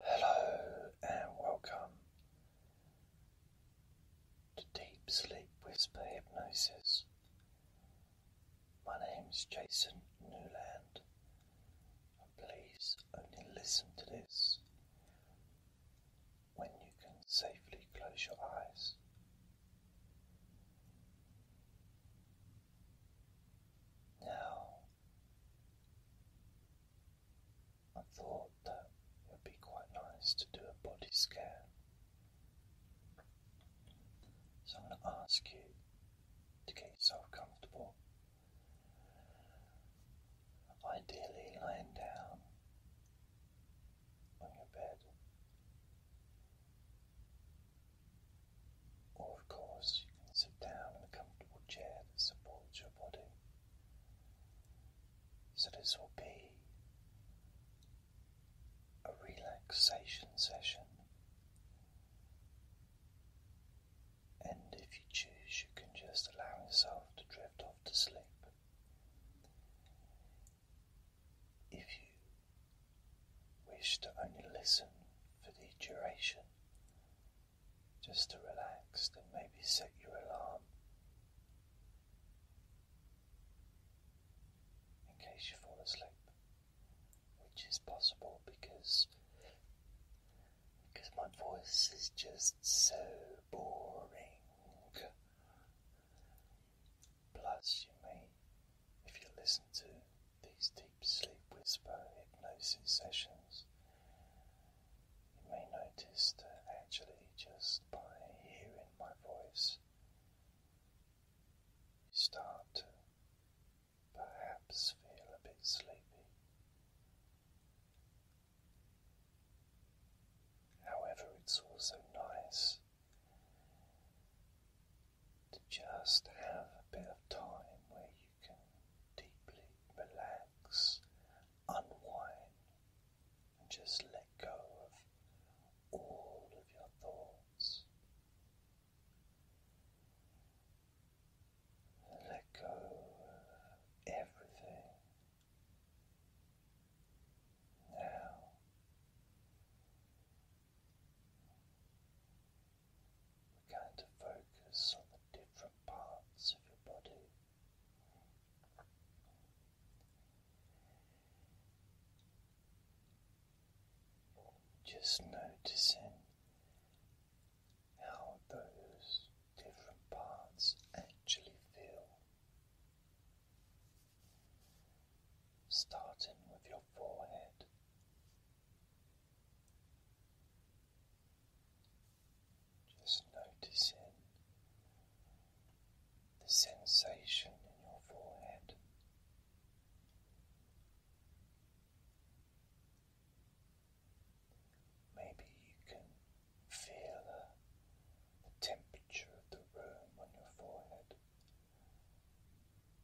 Hello and welcome to Deep Sleep Whisper Hypnosis. My name is Jason Newland, and please only listen to this when you can safely close your eyes. Now, I thought that it would be quite nice to do a body scan. So I'm going to ask you to get yourself comfortable. Ideally, lying down on your bed, or of course, you can sit down in a comfortable chair that supports your body. So, this will be a relaxation session, and if you choose, you can just allow yourself to drift off to sleep. If you wish to only listen for the duration just to relax and maybe set your alarm in case you fall asleep, which is possible because because my voice is just so boring. Plus, you may, if you listen to these deep sleep whisper hypnosis sessions, you may notice that actually, just by hearing my voice, you start to perhaps feel a bit sleepy. However, it's also nice to just have a bit of time where you deeply relax, unwind, and just let go of all of your thoughts. Let go of everything. Now, going to focus on the different parts of your body. Just noticing how those different parts actually feel. Starting with your forehead. Just noticing the sensation in your forehead. Maybe you can feel the, temperature of the room on your forehead.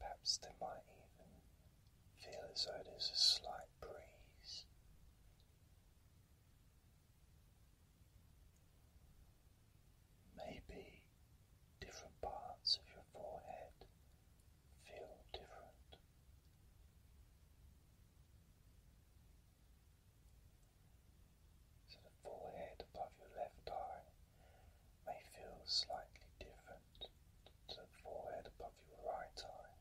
Perhaps there might even feel as though there's a slight breeze Maybe different parts of your forehead feel different. So the forehead above your left eye may feel slightly different to the forehead above your right eye.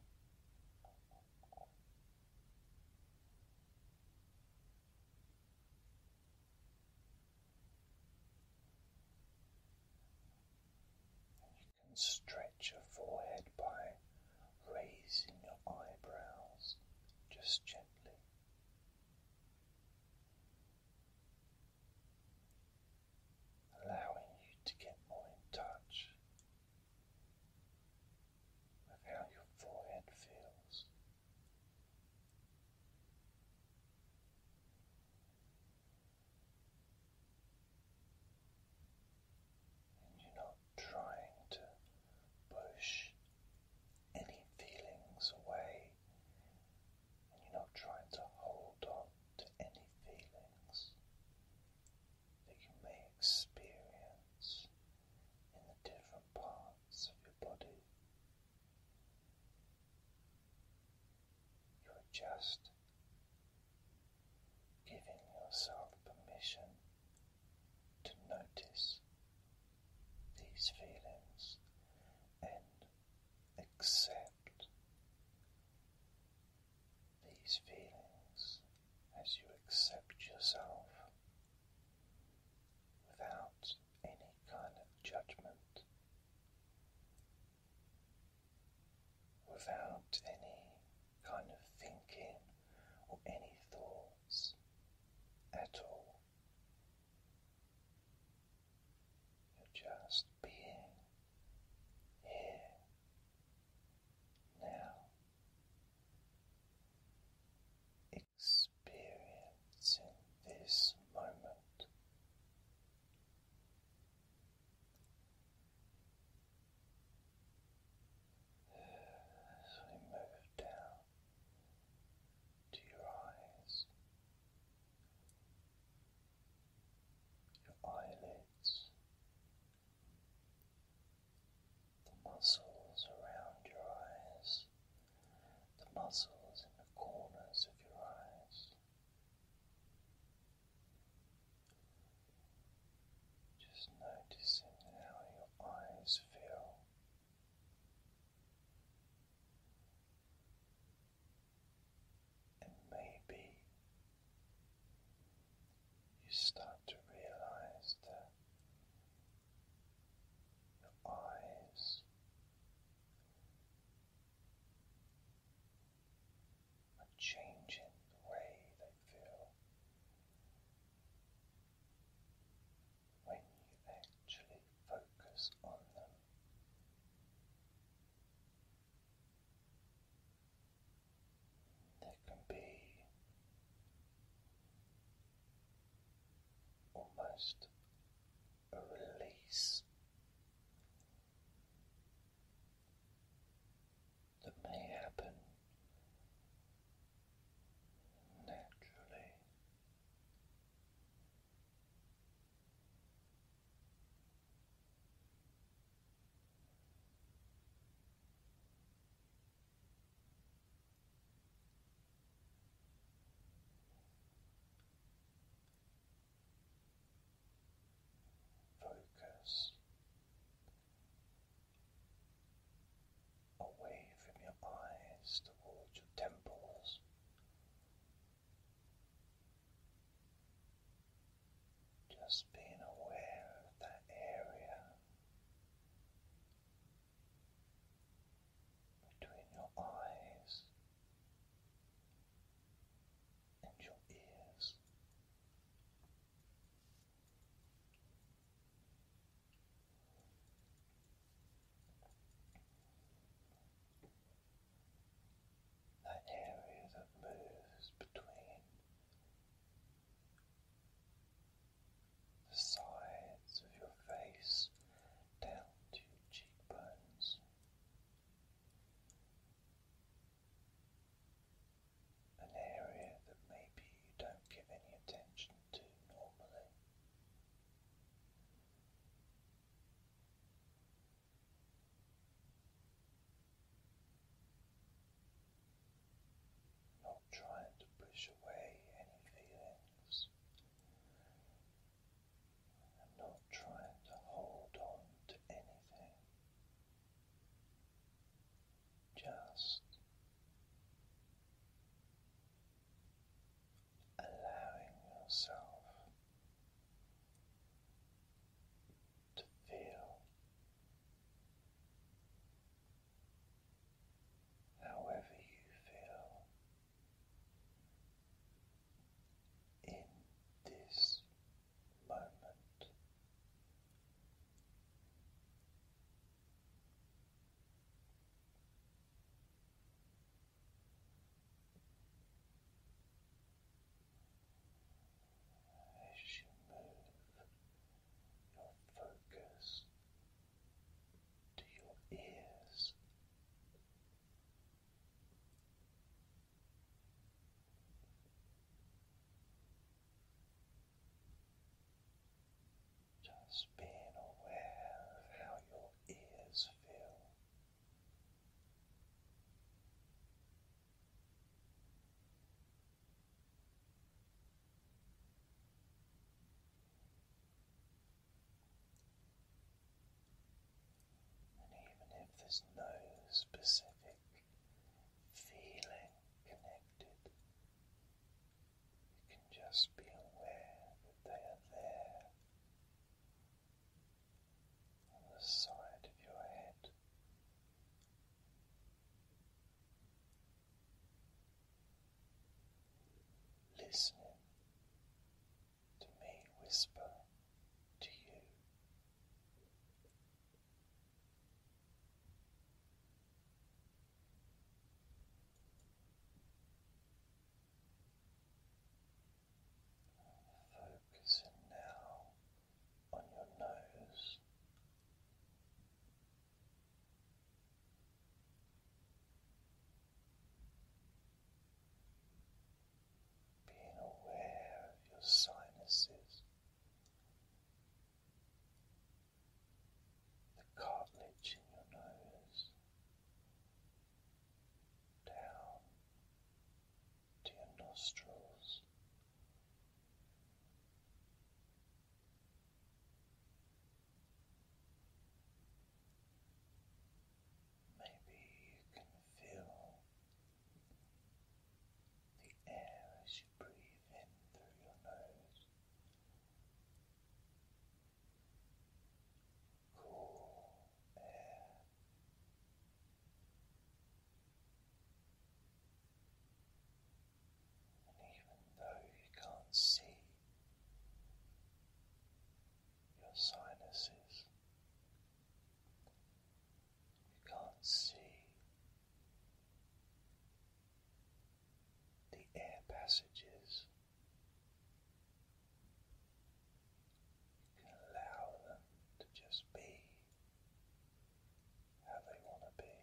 You can stretch your forehead by raising your eyebrows just gently. Allowing you to get more in touch with how your forehead feels. And you're not trying to push any feelings away, and you're not trying to hold on to any feelings that you may experience in the different parts of your body. You are just giving yourself permission to notice these feelings and accept these feelings as you accept yourself without any kind of judgment, without any kind of thinking or any thoughts at all. You're just being here now experiencing this moment. As we move down to your eyes, your eyelids, the muscles around your eyes, the muscles in the corners of your eyes. Just noticing how your eyes feel. And maybe you start to realize that your eyes are changing the way they feel when you actually focus on them. There can be almost a release that may happen naturally. Focus away from your eyes towards your temples. Just being aware of that area between your eyes and your ears. That area that moves between the sides of your face down to your cheekbones. An area that maybe you don't give any attention to normally not trying to push away any feelings, not trying to hold on to anything, just allowing yourself to feel however you feel in this moment as you move your focus to your ears. Just being aware of how your ears feel. And even if there's no specific feeling connected, you can just be aware that they are there on the side of your head listening to me whisper to you. Focusing now on your nose. Being aware of your sinuses, the cartilage in your nose, down to your nostrils, Maybe you can feel the air as you breathe in through your nose. Cool air and even though you can't see your sinuses, you can't see the air passages. You can allow them to just be how they want to be.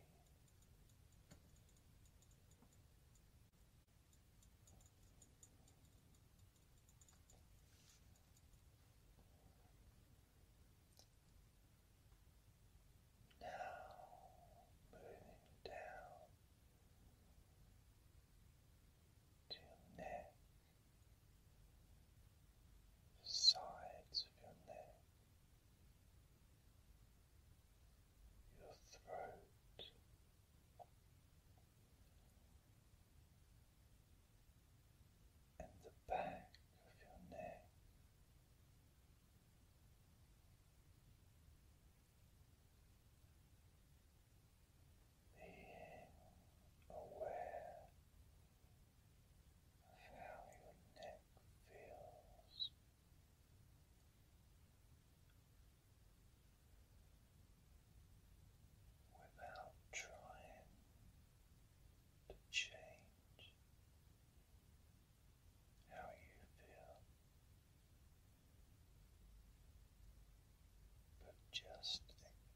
Now moving down to your neck, sides of your neck your throat. And the back of your neck, being aware of how your neck feels. Without trying to change how you feel, but just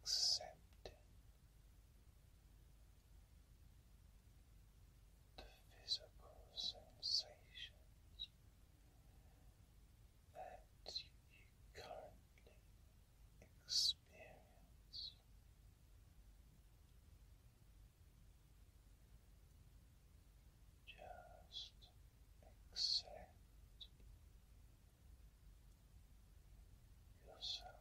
accepting the physical sensations that you currently experience. Just accept yourself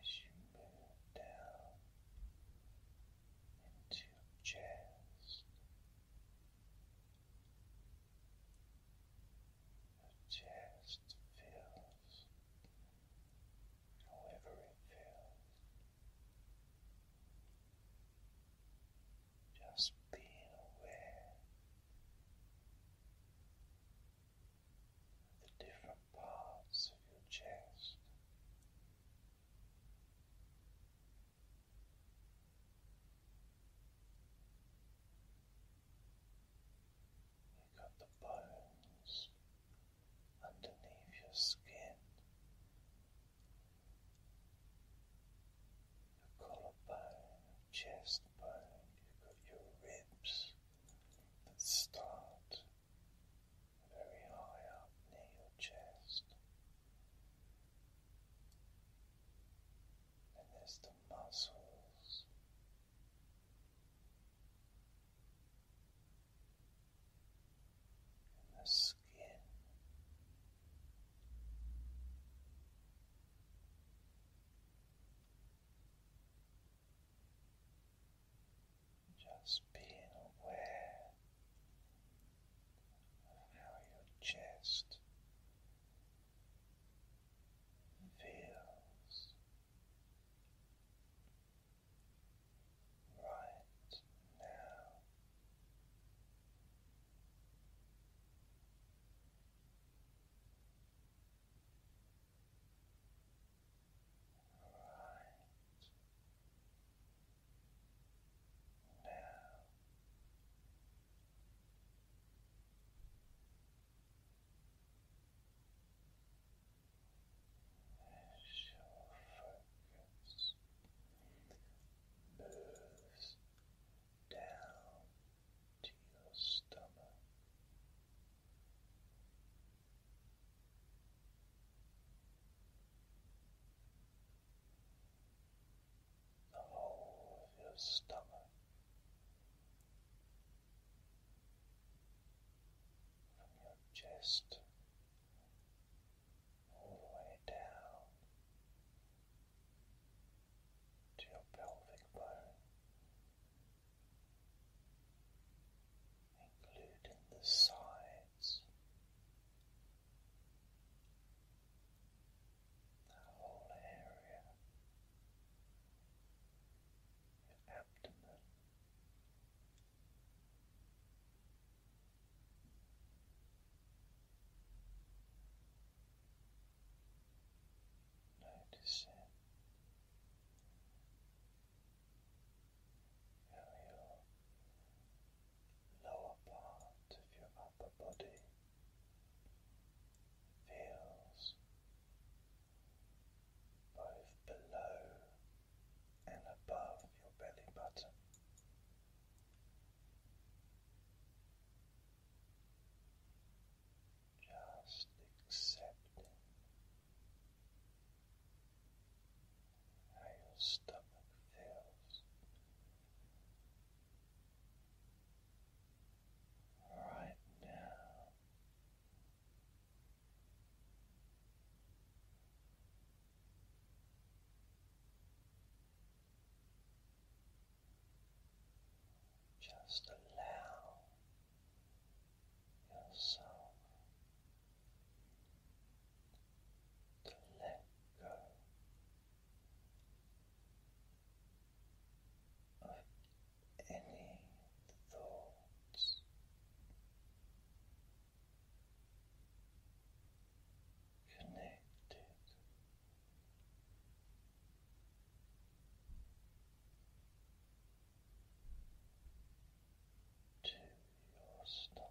as you move down into chest, your chest feels however it feels. Just being aware of the different parts of your chest. You've got the bones underneath your skin your collarbone, chest bone, you've got your ribs that start very high up near your chest. And there's the muscles and the skin. Just being aware of how your chest feels right now. Right now. As your focus moves down to your stomach. The whole of your stomach from your chest all the way down to your pelvic bone, including the sides. That whole area, your abdomen, Noticing how your lower part of your upper body feels both below and above your belly button. Just accepting how your stomach feels right now. Just allow yourself to let go of any thoughts connected. To your stomach,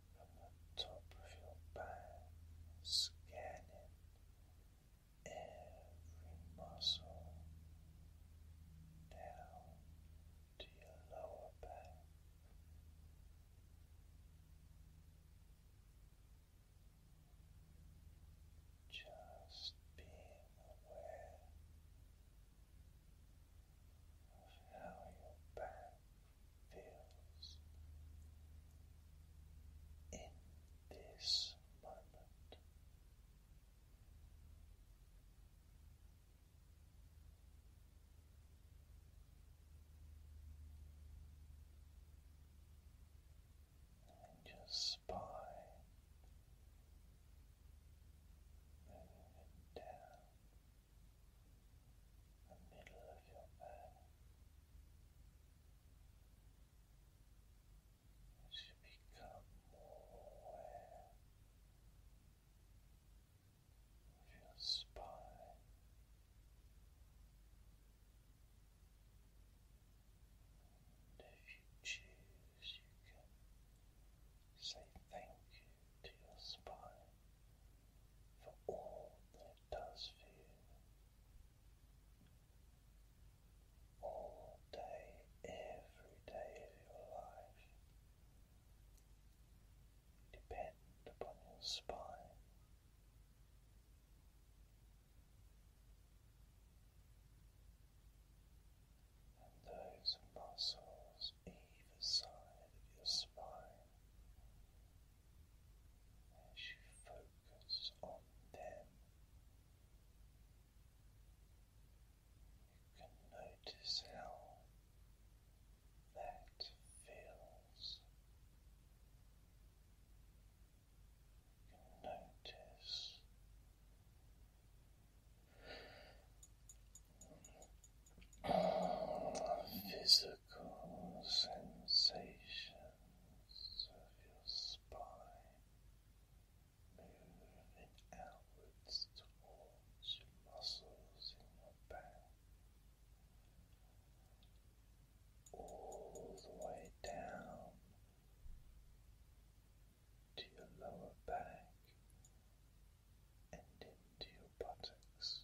from the top of your back, scanning every muscle down to your lower back. Just being aware of how your back feels in this moment. And your spine moving down the middle of your back. As you become more aware of your spine, and if you choose, you can say thank you to your spine for all it does for you. All day, every day of your life, depend upon your spine. And those muscles either side of your spine as you focus on them. You can notice how that feels. You can notice physical sensations of your spine moving outwards towards your muscles in your back. All the way down to your lower back and into your buttocks,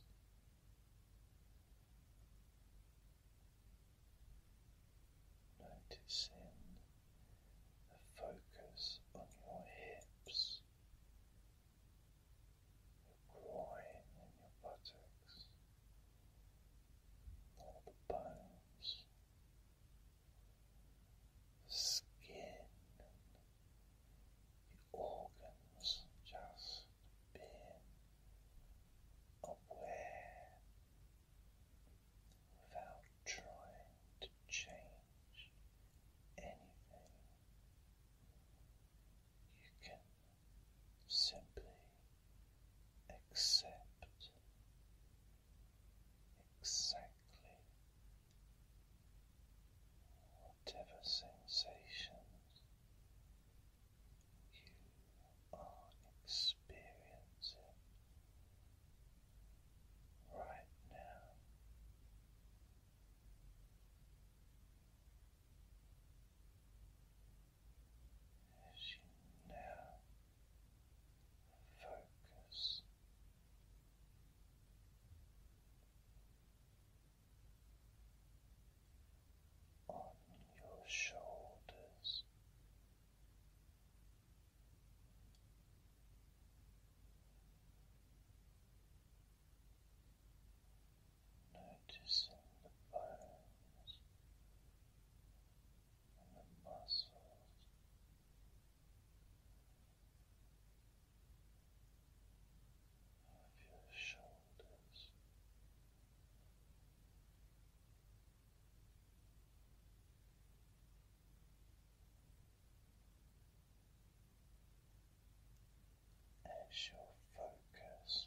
Noticing the focus on your hips, your groin, and your buttocks, all the bones, skin, the organs just being aware without trying to change anything. You can simply accept exactly whatever sensations you are experiencing right now. As you now focus on your shoulders. Noticing the bones and the muscles of your shoulders. As your focus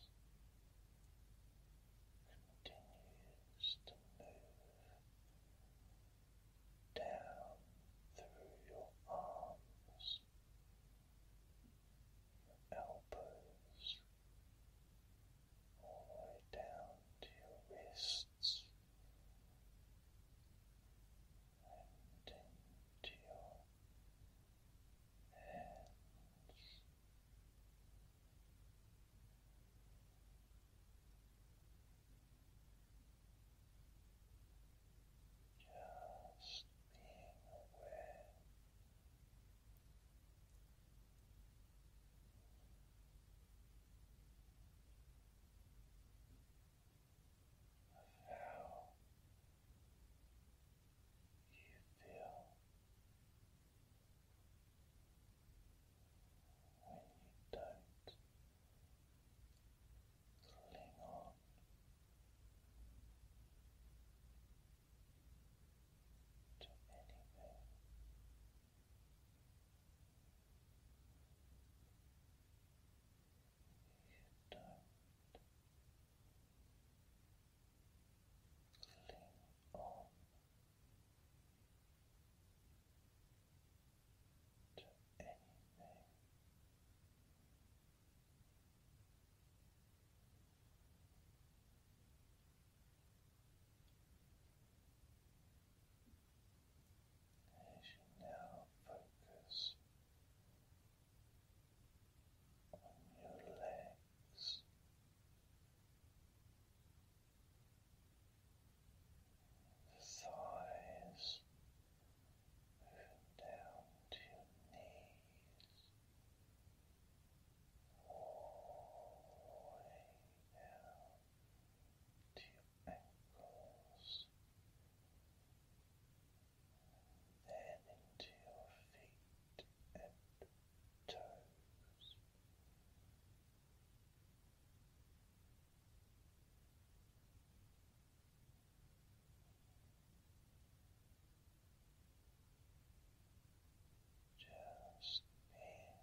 continues to move down through your arms elbows, all the way down to your wrists and into your hands. Just being aware. Of how you feel when you don't on. To anything. You don't cling on to anything. As you now focus on your legs, thighs and down to your knees, all the way down to your ankles, and then into your feet and toes. Just being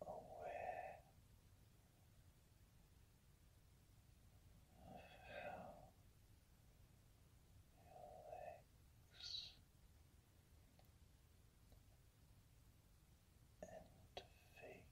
aware of how your legs and feet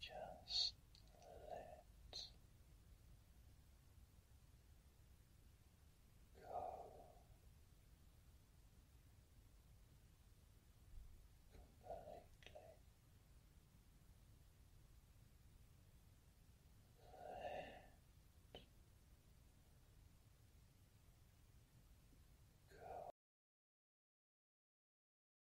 Just let go. Completely let go.